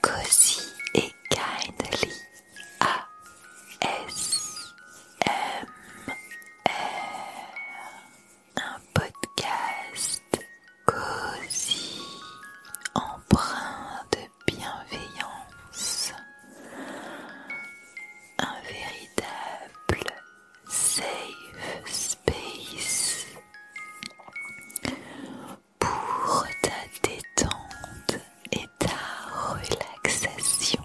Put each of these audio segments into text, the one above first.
Cosy et Kindly ASMR, un podcast cozy, emprunt de bienveillance, un véritable safe pour ta détente et ta relaxation.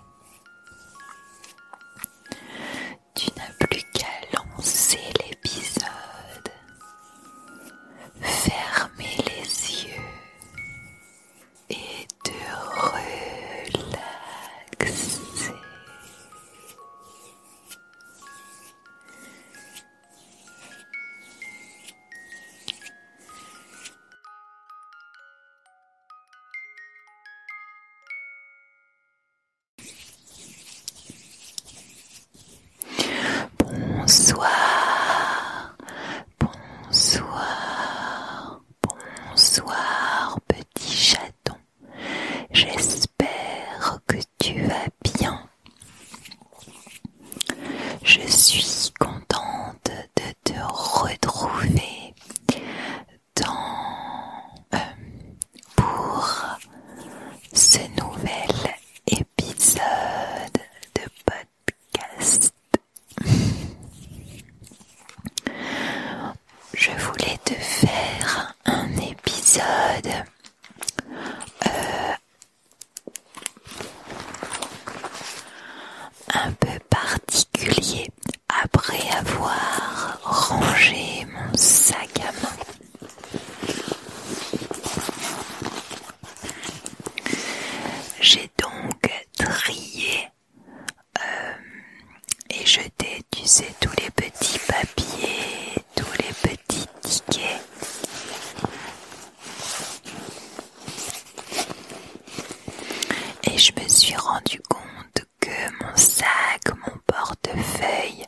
Tu n'as plus qu'à lancer l'épisode, fermer les yeux et te relaxer. Bonsoir, bonsoir, bonsoir petit chaton. J'espère que tu vas bien Je suis contente de te retrouver dans, euh, pour ce nouvel épisode de podcast. Je voulais te faire un, épisode euh, un peu particulier après avoir rangé mon sac à main. J'ai donc trié euh, et jeté, tu sais, tous les petits papiers, tous les petits et je me suis rendu compte que mon sac, mon portefeuille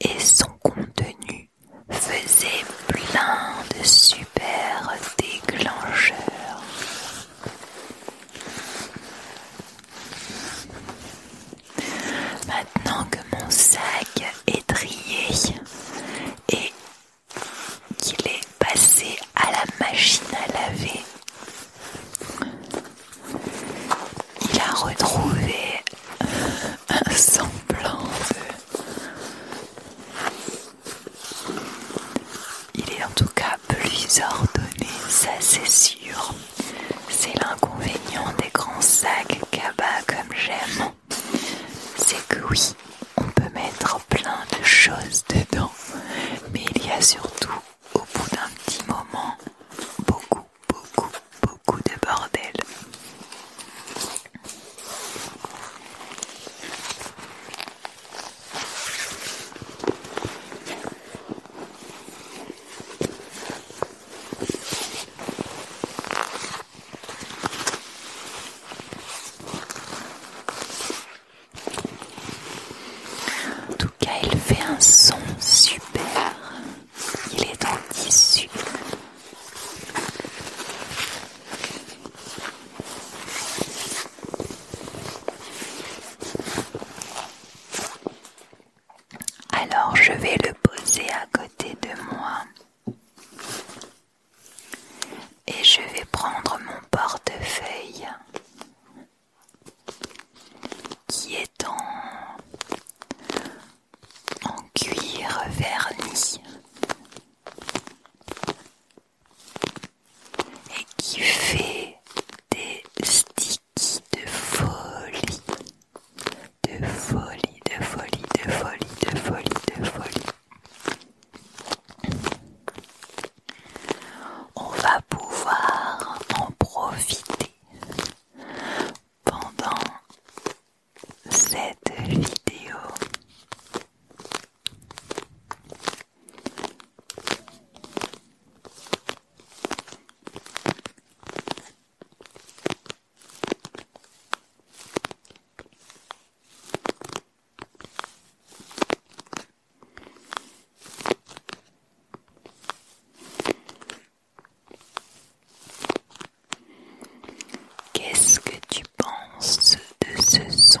et son contenu faisaient plein de super déclencheurs. Maintenant que mon sac est trié et qu'il est passé à la machine à laver, il a retrouvé un semblant Il est en tout cas plus ordonné, ça c'est sûr. C'est l'inconvénient des grands sacs cabas comme j'aime. C'est que oui, on peut mettre plein de choses dedans, mais il y a surtout, au bout d'un petit moment, beaucoup, beaucoup, beaucoup de bordel. En tout cas, il fait un son super. Il est en tissu. Alors je vais le poser à côté de moi et je vais prendre mon portefeuille qui est en, en cuir verni et qui fait des sticks de folie, de folie, de folie, de folie, de folie, de folie. On va pouvoir en profiter pendant cette vidéo. Qu'est-ce que tu penses de ce son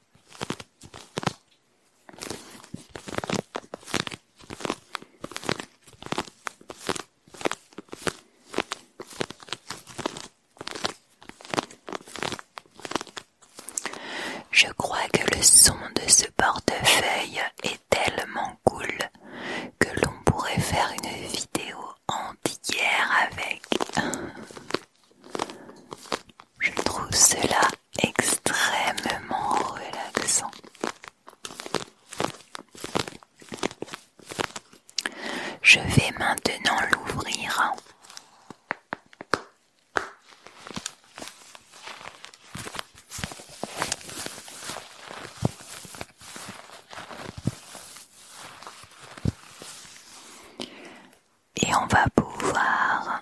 Je crois que le son de ce portefeuille est tellement cool que l'on pourrait faire une vidéo entière avec. Je trouve cela extrêmement relaxant. Je vais maintenant l'ouvrir et on va pouvoir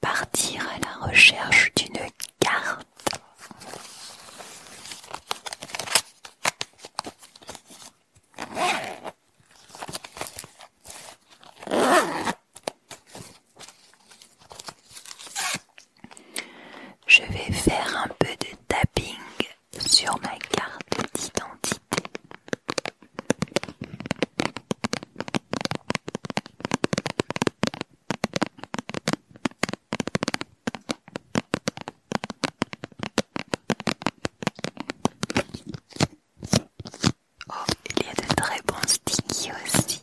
partir à la recherche d'une carte. Je vais faire un peu de tapping sur ma carte d'identité. Oh, il y a de très bons aussi.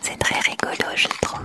C'est très rigolo, je trouve.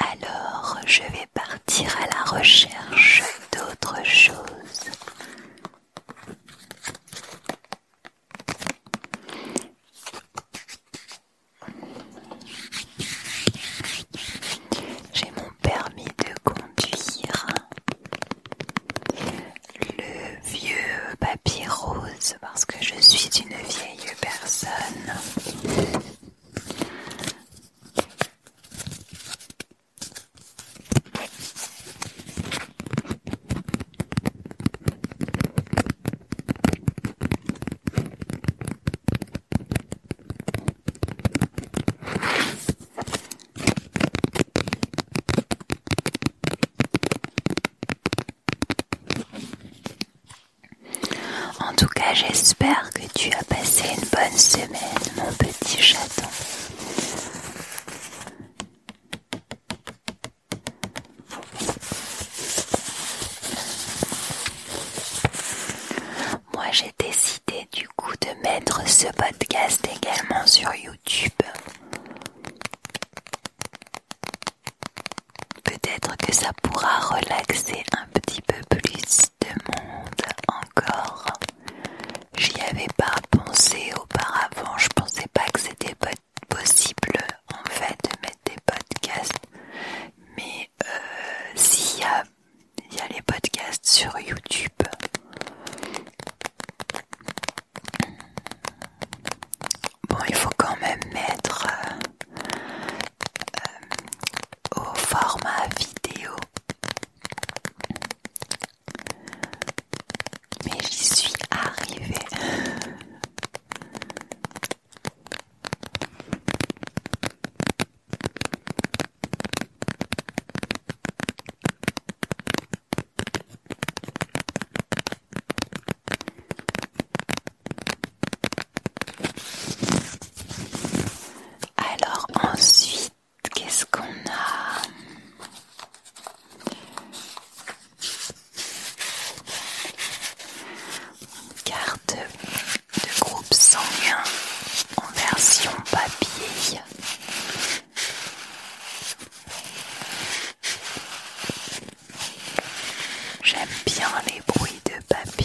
Alors, je vais partir à la recherche d'autres choses. J'ai mon permis de conduire. Le vieux papier rose parce que je suis une vieille personne. En tout cas, j'espère que tu as passé une bonne semaine, mon petit chaton. Moi j'ai décidé du coup de mettre ce podcast également sur YouTube. Peut-être que ça pourra relaxer un petit peu plus de monde encore. J'y avais pas pensé auparavant, je pensais pas que c'était possible possible en fait de mettre des podcasts, mais euh, s'il y a, les podcasts sur YouTube, bon, il faut quand même mettre euh, euh, au format vidéo. Mais j'y suis arrivée. Alors ensuite, qu'est-ce qu'on a Carte de groupe sanguin en version papier. J'aime bien les bruits de papier.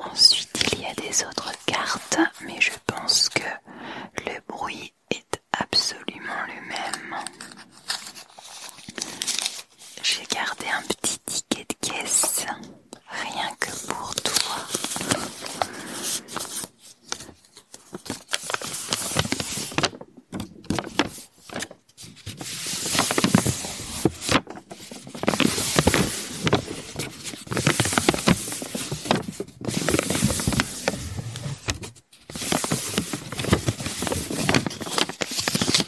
Ensuite, il y a des autres cartes, mais je pense que le bruit est absolument le même j'ai gardé un petit ticket de caisse rien que pour toi. On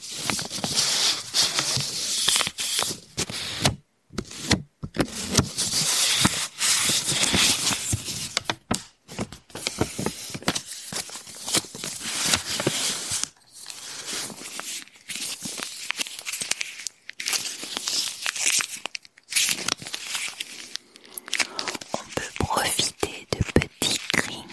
peut profiter de petits crinkles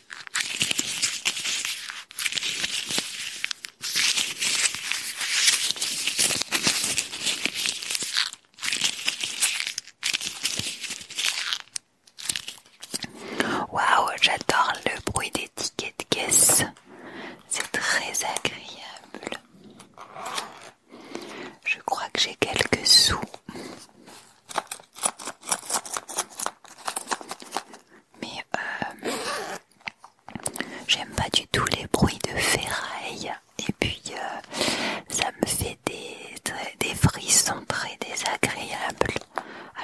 Waouh, j'adore le bruit des tickets de caisse. C'est très agréable. Je crois que j'ai quelques sous mais euh, j'aime pas du tout les bruits de ferraille et puis euh, ça me fait des, des frissons très désagréables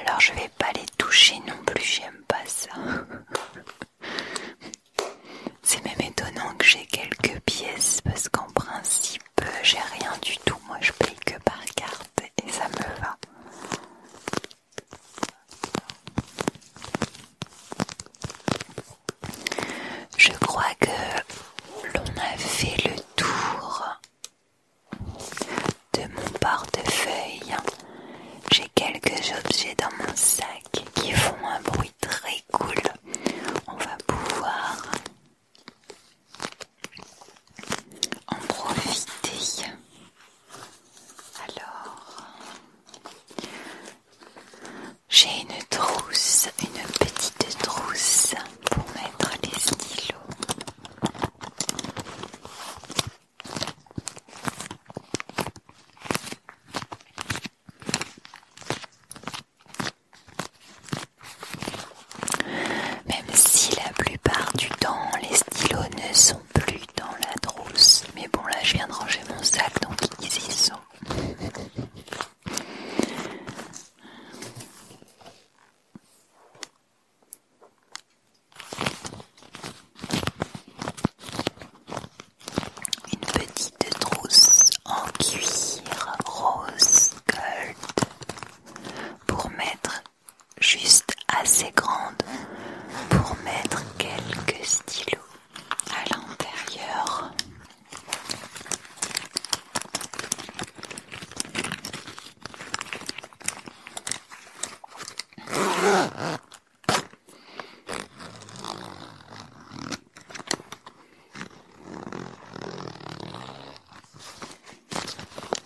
alors je vais pas les toucher non plus j'aime pas ça c'est même étonnant que j'ai quelques pièces parce qu'en principe j'ai rien du tout, moi je paye que par carte et ça me va. Je crois que l'on a fait le tour de mon portefeuille. J'ai quelques objets dans mon sac qui font un bruit très cool. On va pouvoir en profiter. Alors, j'ai une trousse, une petite trousse pour mettre les stylos. Même si la plupart du temps les stylos ne sont plus dans la trousse, mais bon là je viens de ranger mon sac donc ils y sont. Une petite trousse en cuir rose gold pour mettre juste assez grande pour mettre quelques stylos à l'intérieur.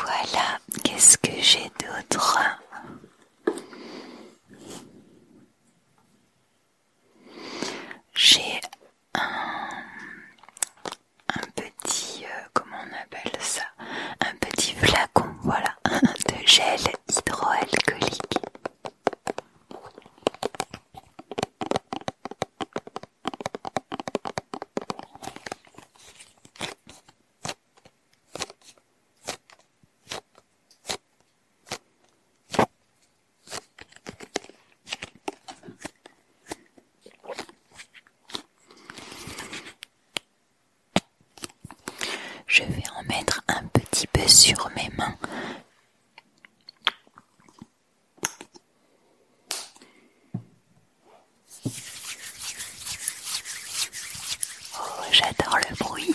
Voilà, qu'est-ce que j'ai d'autre j'ai un, petit, euh, comment on appelle ça Un petit flacon, voilà, un de gel hydroalcoolique. Je vais en mettre un petit peu sur mes mains. Oh, j'adore le bruit.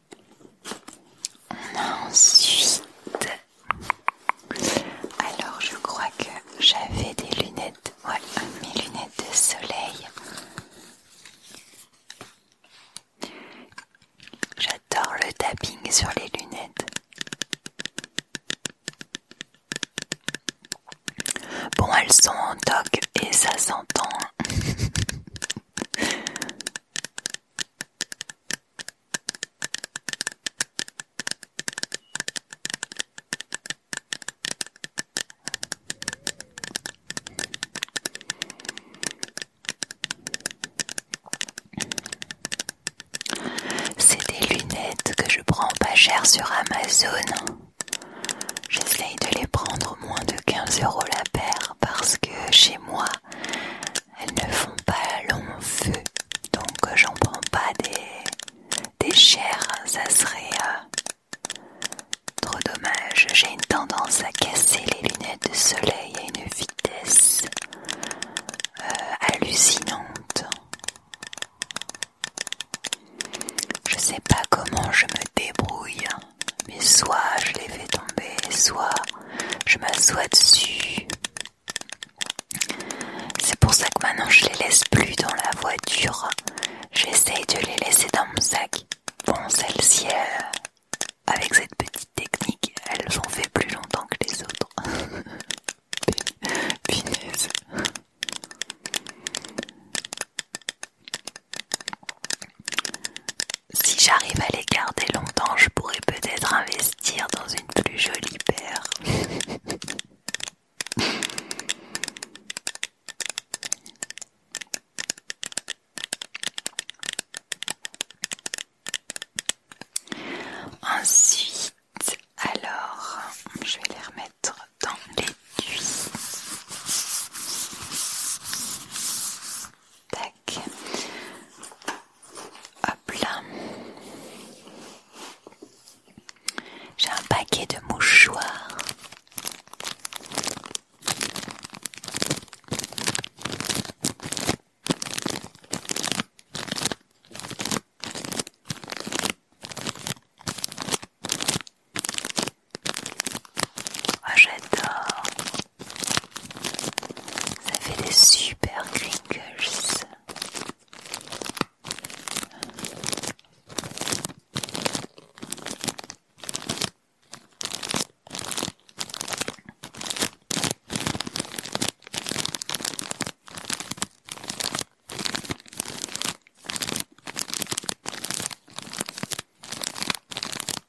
On a ensuite. Alors, je crois que j'avais des lunettes. Ouais, mes lunettes de soleil. J'adore le tapping sur les lunettes. Bon, elles sont en toc et ça s'entend. Hein. C'est des lunettes que je prends pas cher sur Amazon. J'essaye de les prendre moins de 15 euros la paire parce que chez moi, elles ne font pas long feu, donc j'en prends pas des, des chairs, ça serait euh, trop dommage. J'ai une tendance à casser les lunettes de soleil à une vitesse euh, hallucinante. Je sais pas comment je me débrouille, mais soit je les fais tomber, soit je m'assois dessus. C'est pour ça que maintenant je les laisse plus dans la voiture. J'essaye de les laisser dans mon sac. Bon, celle-ci, euh, avec cette petite technique, elles ont fait plus longtemps que les autres. Punaise. Si j'arrive à les garder longtemps, je pourrais peut-être investir dans une plus jolie paire. Ensuite, alors, je vais les remettre dans l'étui. Tac. Hop J'ai un paquet de mouchoirs. Ah, j'adore. Ça fait des super crinkles.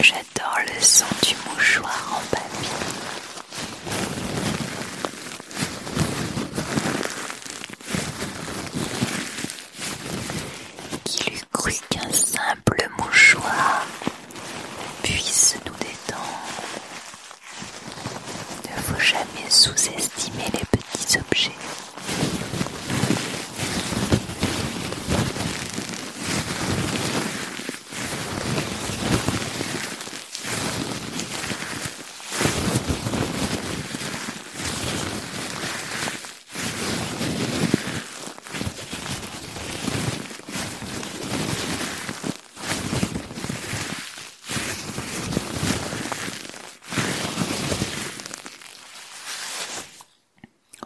J'adore le son du mouchoir en papier. Il eût cru qu'un simple mouchoir puisse nous détendre. Ne faut jamais sous-estimer les petits objets.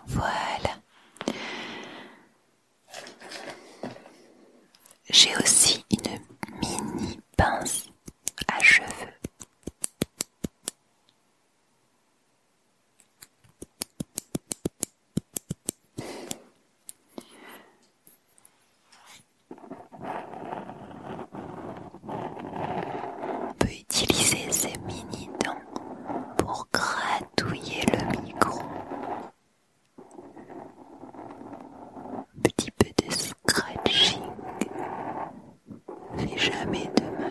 Voilà. J'ai aussi une mini pince à cheveux on peut utiliser ces mini dents pour gratouiller le micro petit peu de scratching fait jamais de mal.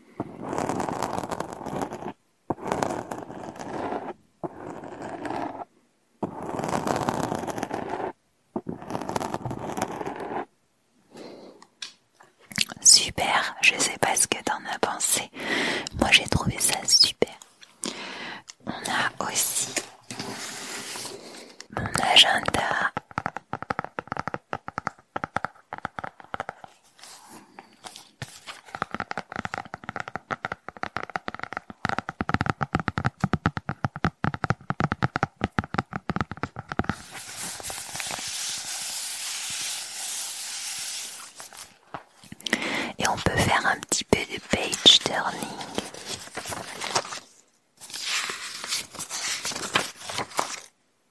Super, je sais pas ce que t'en as pensé. Moi j'ai trouvé ça super. On a aussi mon agenda et on peut faire un petit peu de page turning.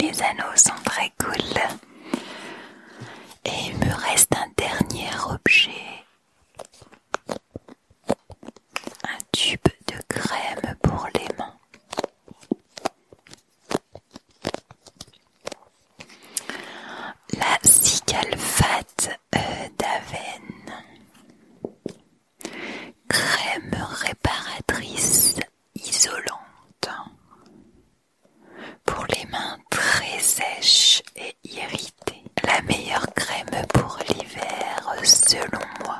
Les anneaux sont très et il me reste un dernier objet. Un tube de crème pour les mains. La cicalfate euh, d'avenne. Crème réparatrice isolante. Pour les mains très sèches et irritées, la meilleure crème pour l'hiver selon moi.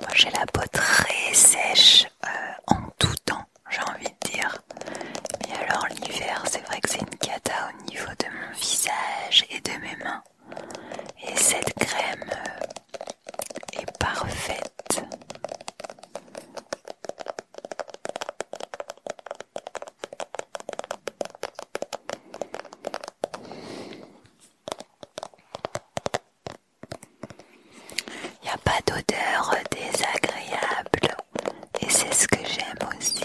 Moi j'ai la peau très sèche euh, en tout temps, j'ai envie de dire. et alors l'hiver, c'est vrai que c'est une cata au niveau de mon visage et de mes mains. Et cette crème, euh, et parfaite. Il n'y a pas d'odeur désagréable et c'est ce que j'aime aussi.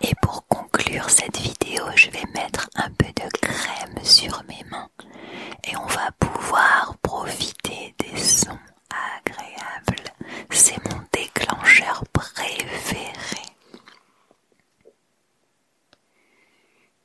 Et pour conclure cette vidéo, je vais mettre un peu de crème sur mes mains et on va pouvoir profiter des sons agréables. C'est mon déclencheur préféré.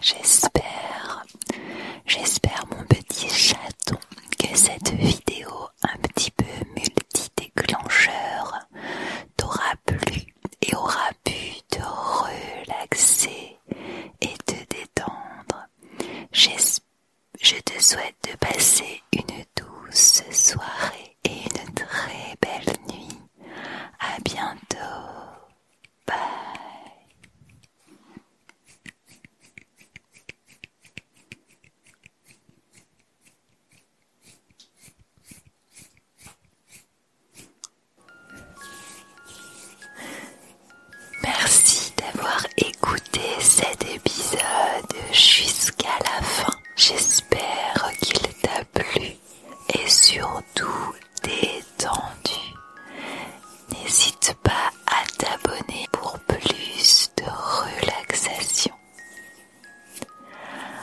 J'espère, j'espère mon petit chaton que cette vidéo un petit peu multi-déclencheur t'aura plu et aura pu te relaxer et te détendre. Je te souhaite de passer une douce soirée et une très belle nuit. À bientôt. Bye. Merci d'avoir écouté cet épisode jusqu'à la fin. J'espère qu'il t'a plu et surtout détendu. N'hésite pas à t'abonner pour plus de relaxation.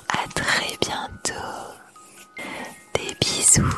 À très bientôt. Des bisous.